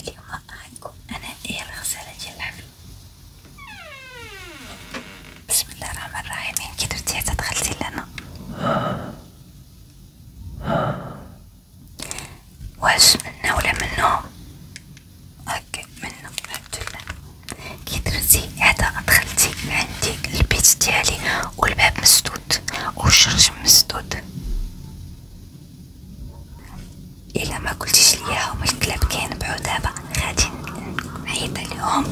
اليوم معاكم أنا إير غسالة العفن بسم الله الرحمن الرحيم كي درتي دخلتي لنا واش منا ولا منهم اوكي منا الحمد لله كي درتي دخلتي عندي البيت ديالي والباب مسدود مسدود والشرج مسدود الا ما قلتيش ليا هما الكلاب كينبعو دابا غادي نعيط عليهم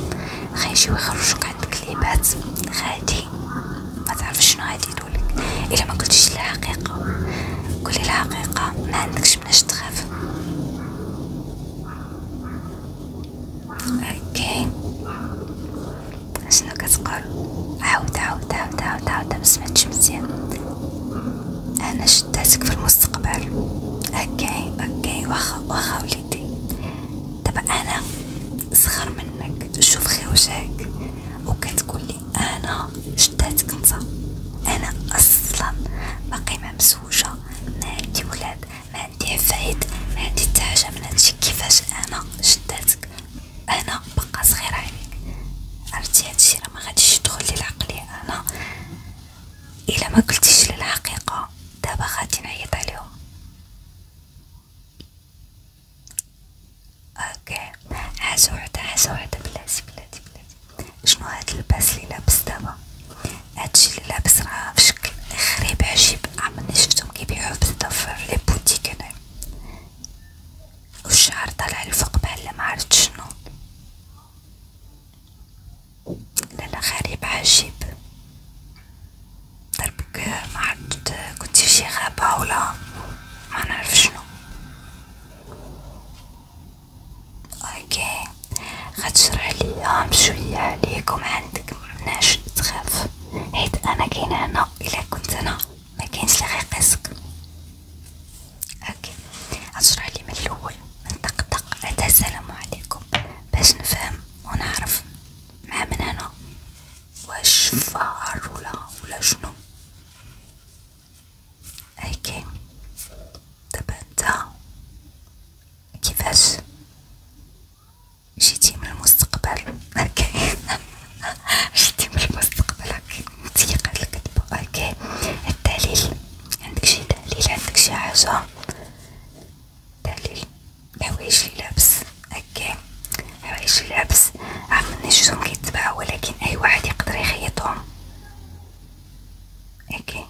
غيجيو يخرجوك عند الكليبات غادي ما تعرفش شنو غادي يدولك الا ما قلتيش الحقيقه قولي الحقيقه ما عندكش مناش تخاف اوكي شنو كتقول عاود عاود عاود عاود عاود بس ما تشمتي انا شداتك في المستقبل اوكي اوكي واخا واخا وليدي دابا انا صغر منك شوف غير وجهك وكتقول لي انا شداتك انت انا اصلا باقي ما مسوجه نادي ولاد ما عندي عفايد ما عندي حتى من هادشي كيفاش انا شداتك انا بقى صغيره عليك عرفتي هادشي راه ما غاديش يدخل للعقل انا الا ما قلتيش للحقيقه دابا غادي نعيط عليهم اوكي حاجه وحده حاجه وحده بلاتي بلاتي بلاتي شنو هاد اللباس اللي لابس دابا هادشي اللي لابس راه بشكل غريب عجيب عمرني شفتهم كيبيعوه بزاف في لي بوتيك هنايا طالع الفوق بحال معرفت شنو لا غريب عجيب ضربك طيب، معرفت كنتي فشي غابة ولا منعرف شنو اوكي غتشرح ليا شويه عليك وما عندك مناش تخاف حيت انا كاين هنا الا كنت انا ما كاينش اللي غيقيسك اوكي غنشرح لي من الاول من طق طق اتى السلام عليكم باش نفهم ونعرف مع من هنا واش فار ولا ولا شنو اوكي دابا نتا كيفاش جيتي من المستقبل اوكي جيتي من المستقبل اوكي متيقة الكذبة اوكي الدليل عندك شي دليل عندك شي حاجة دليل الحوايج لي لابس اوكي الحوايج لي لابس عمرني شفتهم كيتباعو ولكن اي واحد يقدر يخيطهم اوكي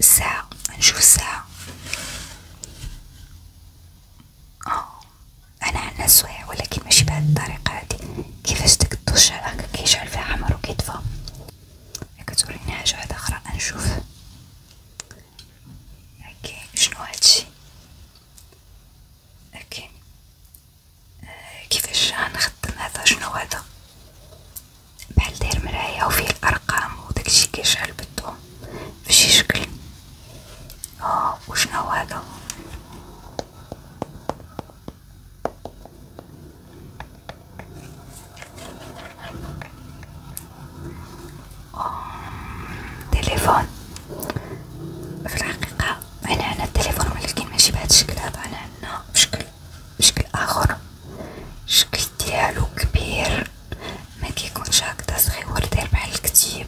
الساعة نشوف الساعة اه انا عندنا السوايع ولكن ماشي بهذه الطريقه هذه كيفاش داك الطشه هكا كيشعل فيها حمر وكيطفى كتوريني حاجه واحده اخرى نشوف اوكي شنو هادشي اوكي آه كيفاش غنخدم هذا شنو هذا بحال داير مرايه وفيه الارقام وداكشي كيشعل بالضو فشي شكل اه وشنو هذا تليفون في الحقيقة أنا عنا التليفون ولكن ماشي بهذا الشكل هذا أنا عنا بشكل بشكل آخر الشكل ديالو كبير ما كيكونش هكذا صغير داير بحال الكتيب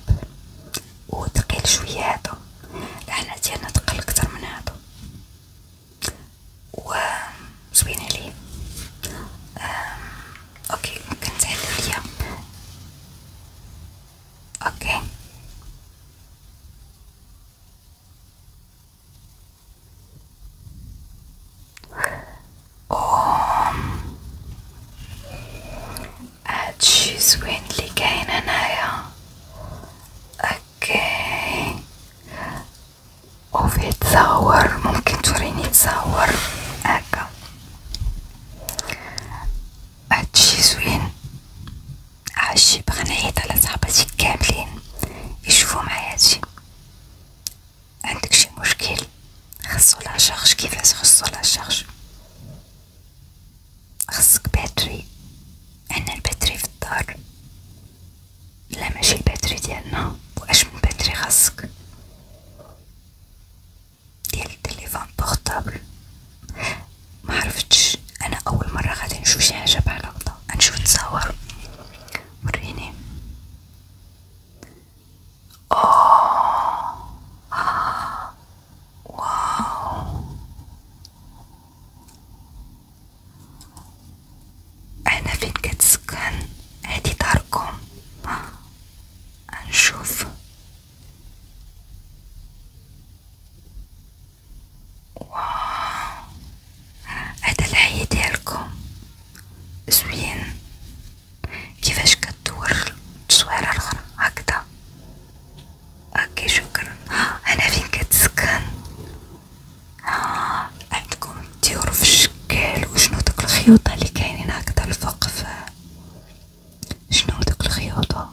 وثقيل شويه هذا العناع ديالنا ثقل اكثر من هذا و زوين عليه اوكي ممكن تعلو ليا اوكي قوم هاد شي زوين لي كاين هنايا اوكي وفيه تصور ممكن توريني تصور هكا هادشي زوين هادشي بغا نعيط على صحباتي كاملين يشوفو معايا هادشي عندك شي مشكل خصو لا شارج كيفاش خصو لا شارج خصك باتري عندنا الباتري في الدار لا ماشي الباتري ديالنا واش من باتري خاصك ديال التليفون بورطابل ما عرفتش انا اول مره غادي نشوف شي حاجه بحال هكذا غنشوف تصاور وريني Oh. واو أنا فين كتسكن هادي داركم نشوف واو هذا الحي ديالكم زوين كيفاش كدور التصويره الاخرى هكذا اوكي شكرا انا فين كتسكن ها آه، عندكم الطيور في الشكل وشنو دوك الخيوط اللي كاينين هكذا الفوق في شنو دوك الخيوط آه.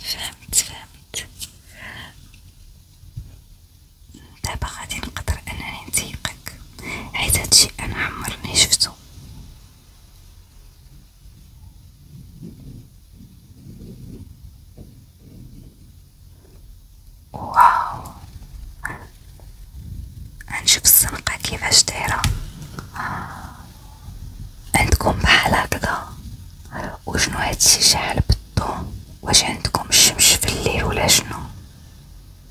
فهمت فهمت دابا غادي نقدر انني نتيقك حيت هادشي انا عمرني شفتو واو غنشوف السنقة كيفاش دايرة عندكم بحال هكذا وشنو هادشي شحال بالضو واش عندكم الشمش في الليل ولا شنو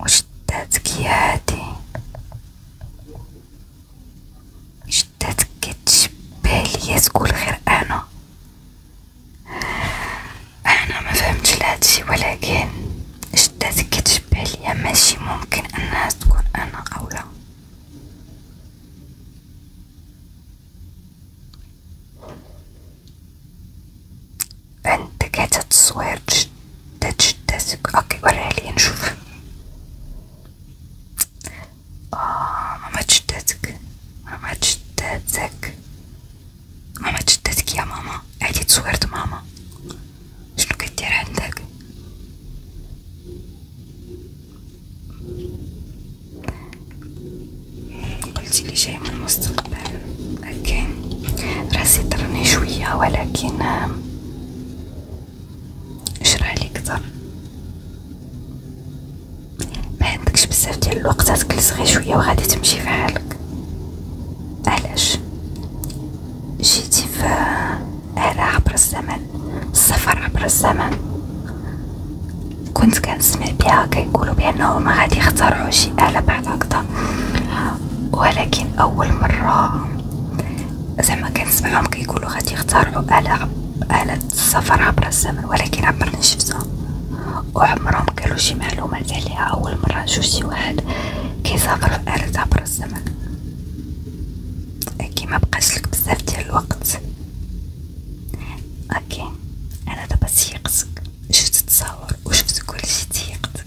وشداتك يا هادي شداتك كتشبه ليا تقول غير انا انا ما فهمتش لهادشي ولكن شداتك كتشبه ليا ماشي ممكن انها تكون انا او لا عندك هذا التصوير جدا جدا اوكي وريها لي نشوف اه ماما جدتك ماما جدتك ماما يا ماما هادي تصويرت ماما شنو كدير عندك قلتي جاي من المستقبل اوكي راسي طرني شوية ولكن شرالي كتر ما عندكش بزاف ديال الوقت تجلس غير شويه وغادي تمشي في حالك علاش جيتي في على عبر الزمن السفر عبر الزمن كنت كنسمع بها كيقولوا بانهم غادي يخترعوا شي آلة بعد هكذا ولكن أول مرة زعما كنسمعهم كيقولو غادي يخترعوا آلة آلة السفر عبر الزمن ولكن عمرني شفتها وعمرهم قالوا شي معلومات عليها أول مرة نشوف شي واحد كيسافر في آلة عبر الزمن أكيد ما بقاش لك بزاف ديال الوقت اوكي انا دابا سيقتك شفت التصاور وشفت كلشي تيقتك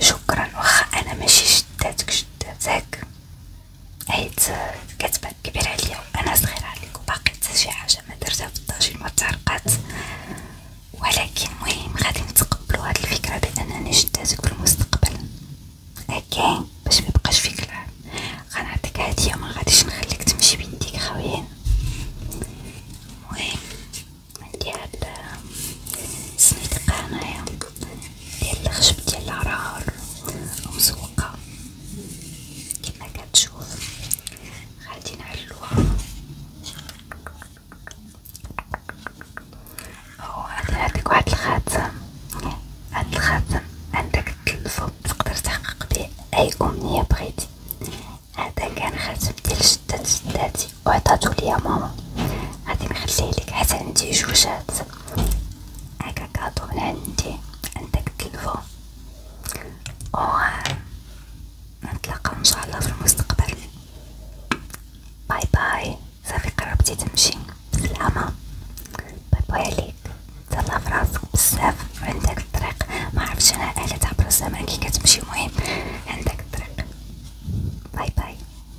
شكرا واخا انا ماشي جداتك جداتك حيت كتبان كبير عليا انا صغيره عليك وباقي حتى شي حاجه ما درتها في الطاجين ما تعرقات ولكن مهم غادي نتقبلو هاد الفكره بانني جداتك في المستقبل اوكي باش ميبقاش فيك العار غنعطيك هديه ما غاديش نخليك تمشي بيديك خويين خاويين عندي هاد السنيده هنايا ديال الخشب ديال العرار ومزوقة كما كتشوف غادي نعلوها وغادي نعطيك واحد الخاتم هاد الخاتم عندك تلفو تقدر تحقق به اي امنيه بغيتي هذا كان خاتم ديال شدات شداتي وعطاتو ليا ماما غادي نخليه لك حتى عندي جوجات هكا كاطو من عندي عندك تلفو و نتلاقاو ان شاء الله في المستقبل باي باي صافي قربتي تمشي بالسلامه باي باي عليك تهلا فراسك بزاف عندك الطريق ما عرفتش انا الا تعبر الزمان كي كتمشي المهم عندك الطريق باي باي